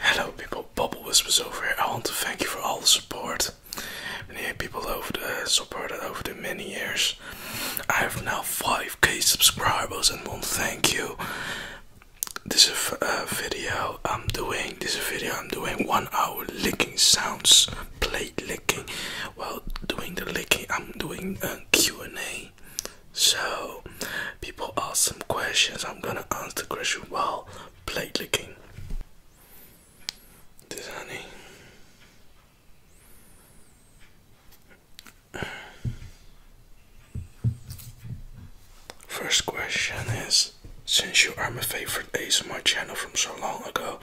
Hello people, Bubblewhisp was over here. I want to thank you for all the support. Many people over the uh, supported over the many years. I have now 5k subscribers and want to thank you. This is a uh, video I'm doing. This is a video I'm doing one hour licking sounds, plate licking. While doing the licking, I'm doing a Q&A. So People ask some questions. I'm gonna answer the question while plate licking. This honey. First question is Since you are my favorite my channel from so long ago,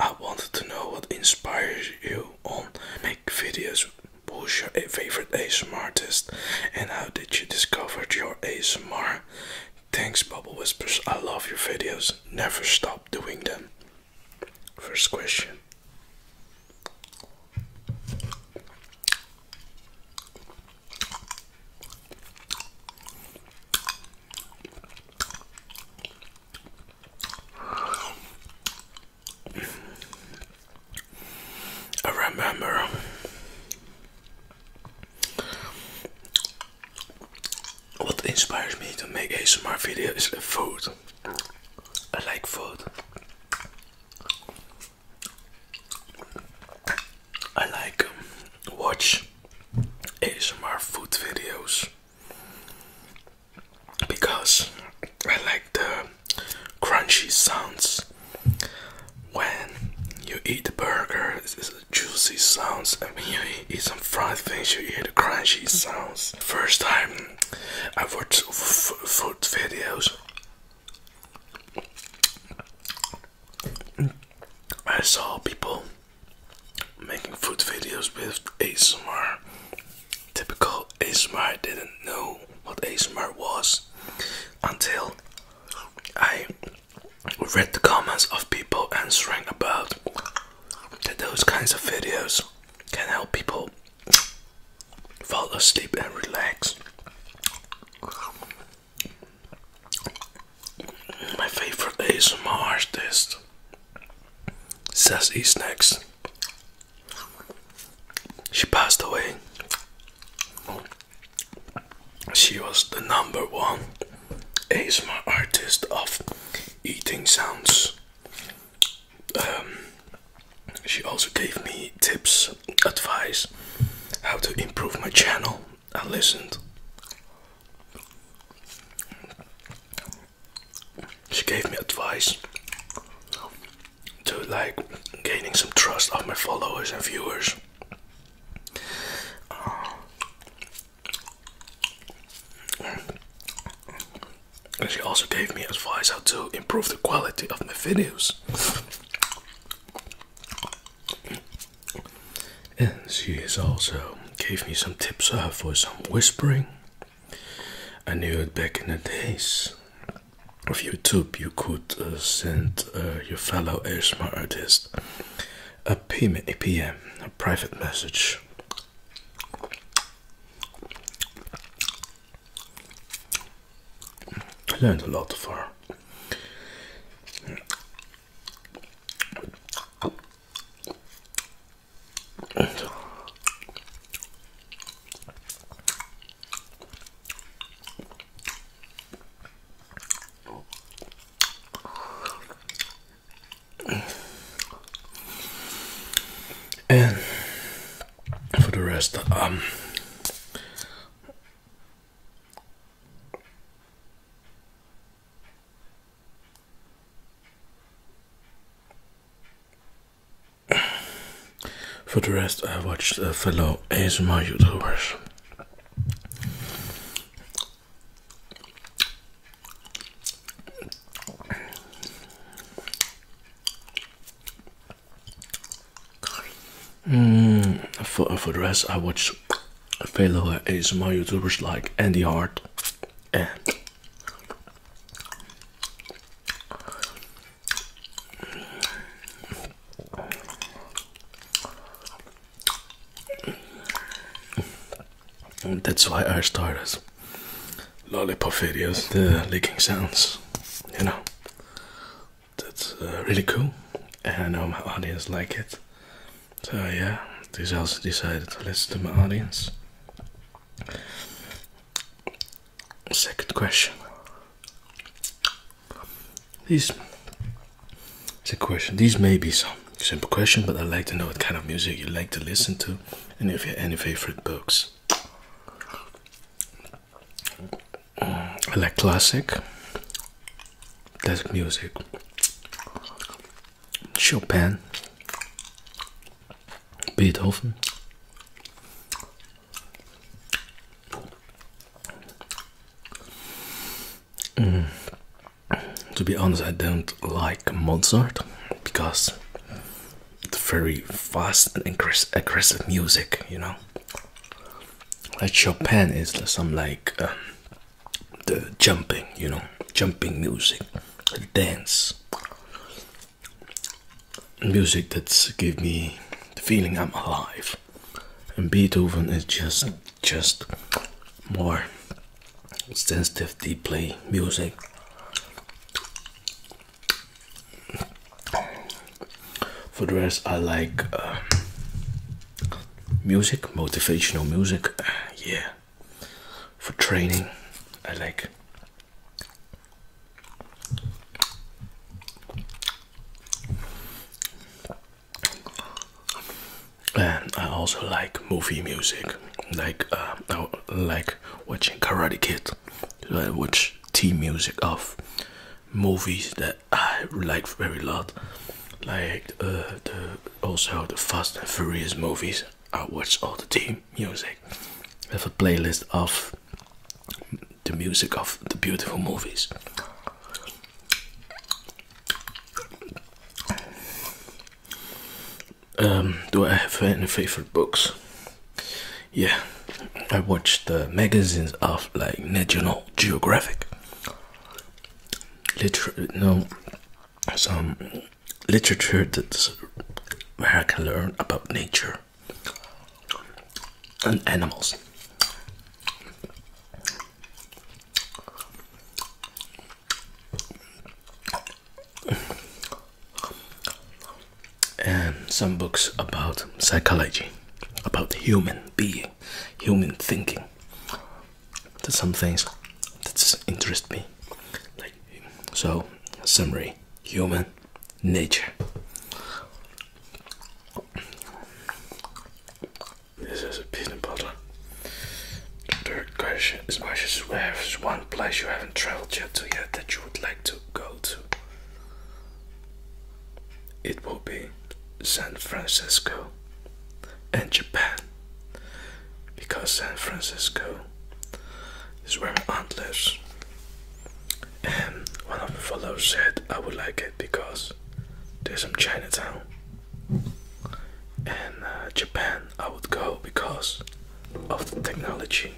I wanted to know what inspires you on make videos. Who's your favorite ASMR artist and how how did you discover your ASMR? Thanks, Bubble Whispers. I love your videos. Never stop doing them. First question. I remember what inspires me to make ASMR video is food. I like food. I like um, watch ASMR food videos because I like the crunchy sounds when you eat the burger, a juicy sounds, and when you eat some fried things, you hear the crunchy sounds. First time I watched food videos, I saw people making food videos with ASMR. Typical ASMR, I didn't know what ASMR was until I read the comments of people answering about that those kinds of videos can help people fall asleep and relax. My favorite ASMR artist says E Snacks. She passed away she was the number one ASMR artist of eating sounds. Um, she also gave me tips, advice, how to improve my channel. I listened. She gave me advice to like gaining some trust of my followers and viewers. And she also gave me advice how to improve the quality of my videos. and she has also gave me some tips for some whispering. I knew it back in the days of YouTube, you could uh, send uh, your fellow ASMR artist a PM, a private message. I learned a lot from. her. And for the rest, um, for the rest, I watched uh, fellow ASMR YouTubers. Mm, for, for the rest, I watch fellow ASMR YouTubers like Andy Hart and that's why I started lollipop videos, the licking sounds, you know. That's uh, really cool, and I know my audience like it. So yeah, this also decided to listen to my audience. Second question. These, it's a question. These may be some simple question, but I'd like to know what kind of music you like to listen to, and if you have any favorite books. I like classic, classic music, Chopin, Beethoven, Mm. To be honest, I don't like Mozart because it's very fast and aggressive music, you know. Like Chopin is some like uh, the jumping, you know, jumping music, dance music that's give me the feeling I'm alive and Beethoven is just just more sensitive play music for the rest I like uh, music motivational music uh, yeah for training I like and I also like movie music, like uh, I like watching Karate Kid, I watch team music of movies that I like very lot, like uh, also the Fast and Furious movies. I watch all the team music. I have a playlist of the music of the beautiful movies. Um, do I have any favorite books? Yeah, I watch the magazines of like National Geographic. Liter no, some literature that's where I can learn about nature and animals. And some books about psychology, about human being, human thinking. some things that interest me. so, summary human nature. This is a peanut butter. The third question is where is one place you haven't traveled yet to yet that you would like to go to? It will be San Francisco and Japan because San Francisco is where my aunt lives and um, one of the followers said I would like it because there's some Chinatown and uh, Japan I would go because of the technology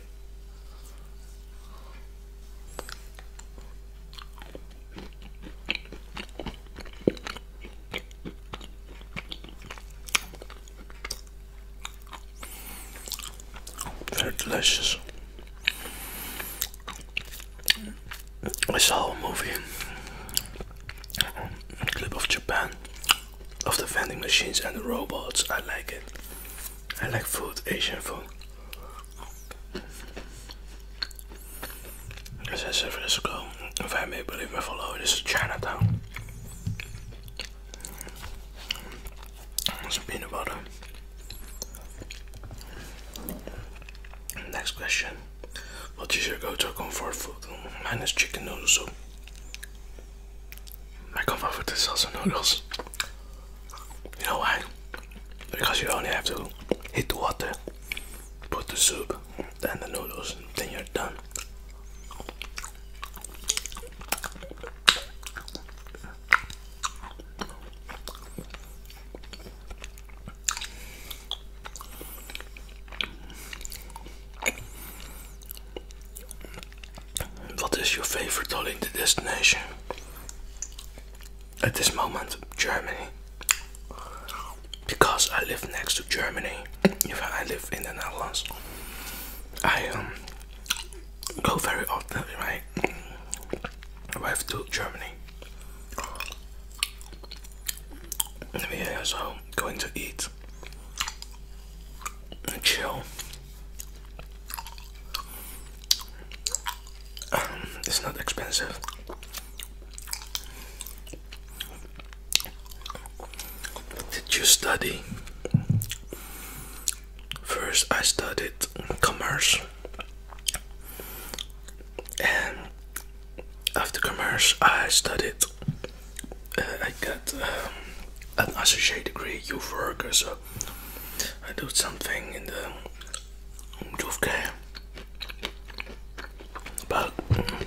very delicious I saw a movie, clip of Japan, of the vending machines and the robots. I like it. I like food, Asian food. As I said years ago, if I may believe my follow, this is Chinatown. Some peanut butter. Next question. What is your go-to comfort food? Mine is chicken noodle soup. My comfort food is also noodles. You know why? Because you only have to heat the water, put the soup, then the noodles, then you're done. What is your favorite holiday destination? At this moment, Germany. Because I live next to Germany, if I live in the Netherlands, I um, go very often, right? I have to Germany me. We are also going to eat and chill. Um, it's not expensive. Did you study? First, I studied commerce after commerce I studied uh, I got um, an associate degree youth worker so I do something in the youth care but mm,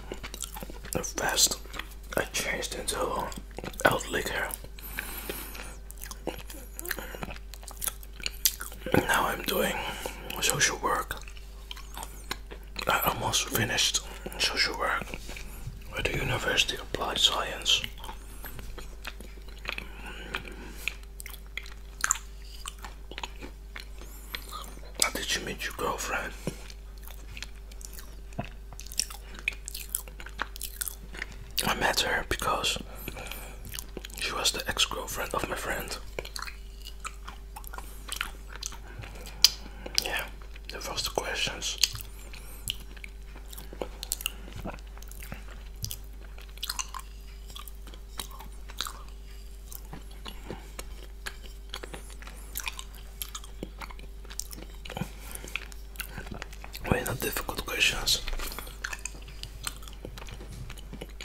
fast I changed into out liquor now I'm doing social work. I almost finished social work at the University of Applied Science. How did you meet your girlfriend? I met her because she was the ex-girlfriend of my friend. Yeah, that was the questions. Wait, not difficult questions.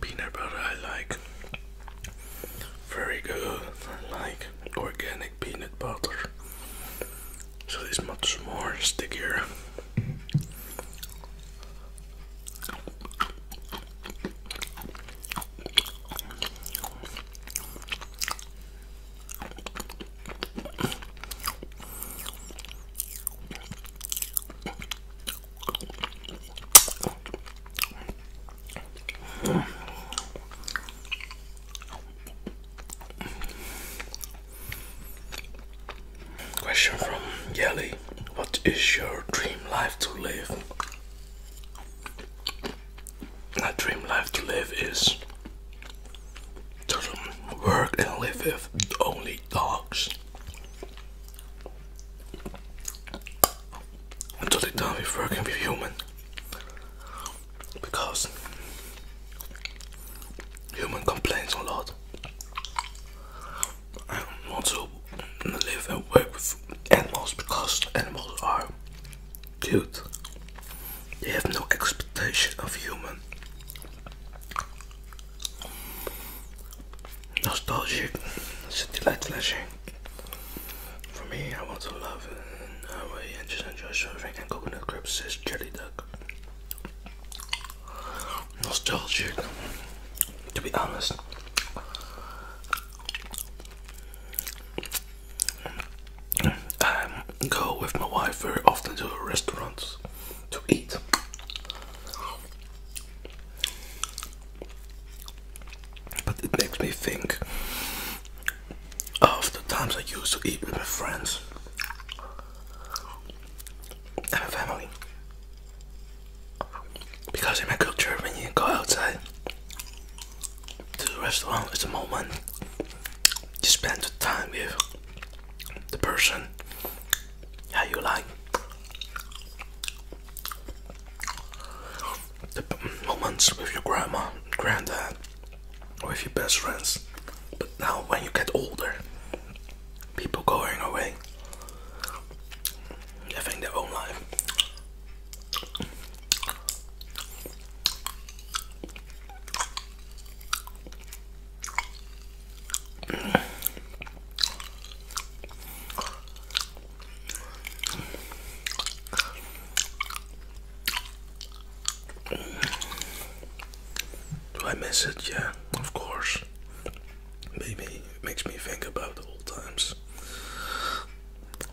Peanut butter I like very good. I like organic peanut butter. So it's much more stickier. Question from Yelly What is your dream life to live? My dream life to live is does work and live with only dogs. Until am totally done with working with human because human complains a lot. I want to live and work with animals because animals are cute. They have no expectation of human nostalgic. It's a delight For me, I want to love and I really just enjoy serving and coconut crepes says jelly duck. Nostalgic. To be honest, I um, go with my wife very often to restaurants to eat. But it makes me think of the times I used to eat with my friends and family. Because in my culture, when you go outside to the restaurant, it's a moment you spend the time with the person how you like the moments with your grandma granddad with your best friends but now when you get older people going away having their own life do I miss it? Yeah, of course. Maybe it makes me think about old times.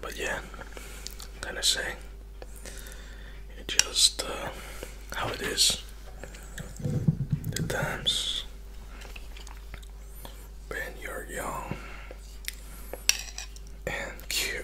But yeah, then I say. It's just uh, how it is. The times when you're young and cute.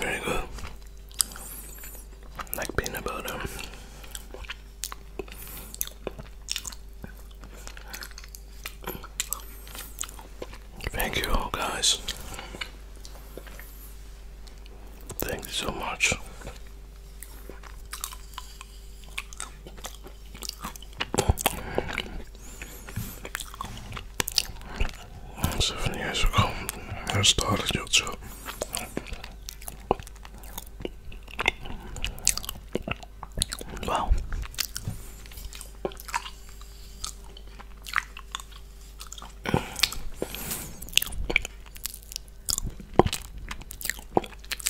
Very good. Like peanut butter. Thank you all guys. Thank you so much. Seven years ago, I started YouTube. Wow.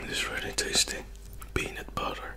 It is really tasty peanut butter.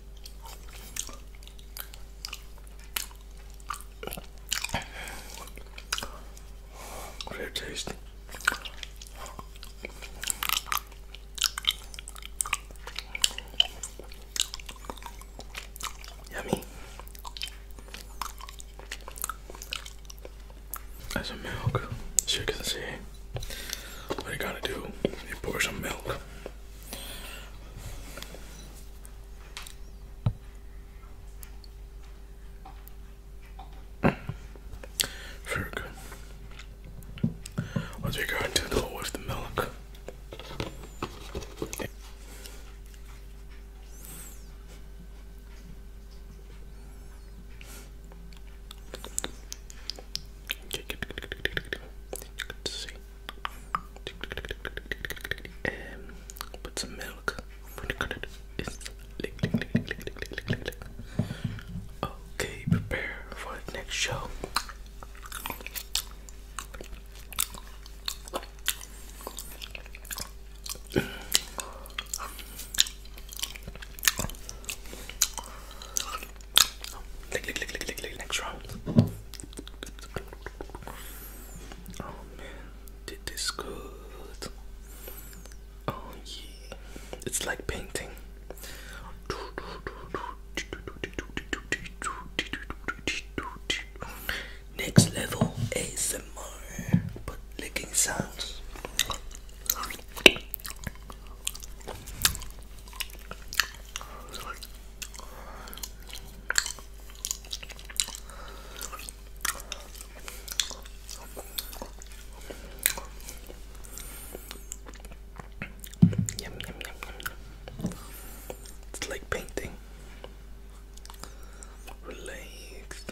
Great taste. Yummy. That's some milk. As you can see, what you gotta do, you pour some milk. Very good. Once we got to do with the milk. Um, put some milk. Okay, prepare for the next show. Lick, lick, lick, lick, lick, lick. Next round. Oh man, did this good. Oh yeah, it's like painting. Next level ASMR, but licking sounds. Yum, yum, yum, yum. It's like painting. Relaxed.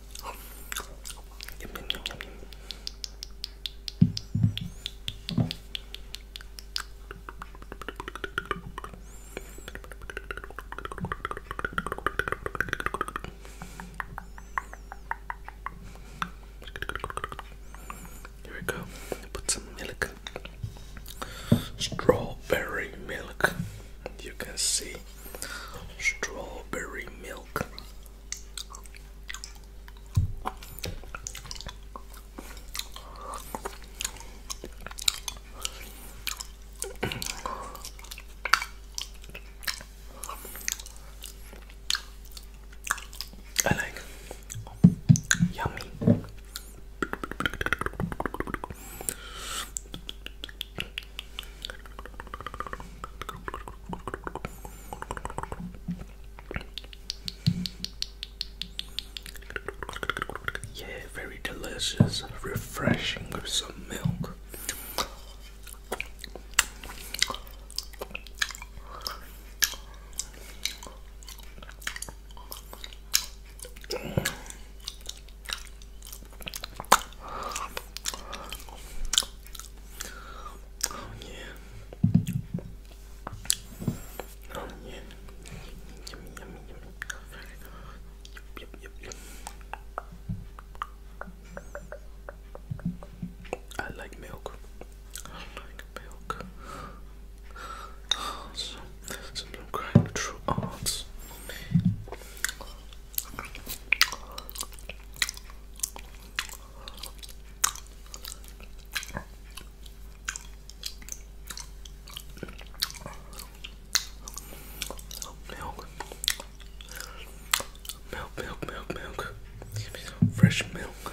Here we go. Put some milk, strawberry milk. You can see strawberry milk. I like yummy. Yeah, very delicious, refreshing with some milk. Oh yeah. yeah. I like milk. I like milk. So, some crying true arts. Milk, milk, milk, milk, milk. Give me some fresh milk.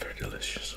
Very delicious.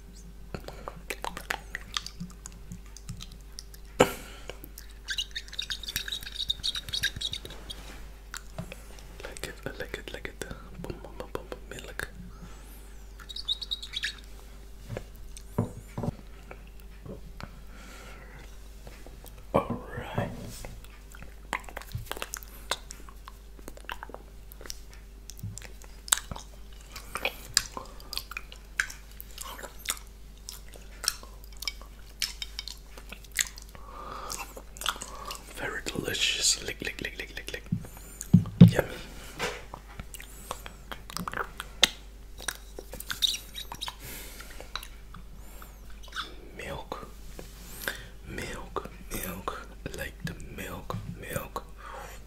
like it, like it, like it. boom, boom, boom, boom, milk. All right. Very delicious. Lick, lick, lick, lick, lick, lick. Yummy. Milk, milk, milk, like the milk, milk.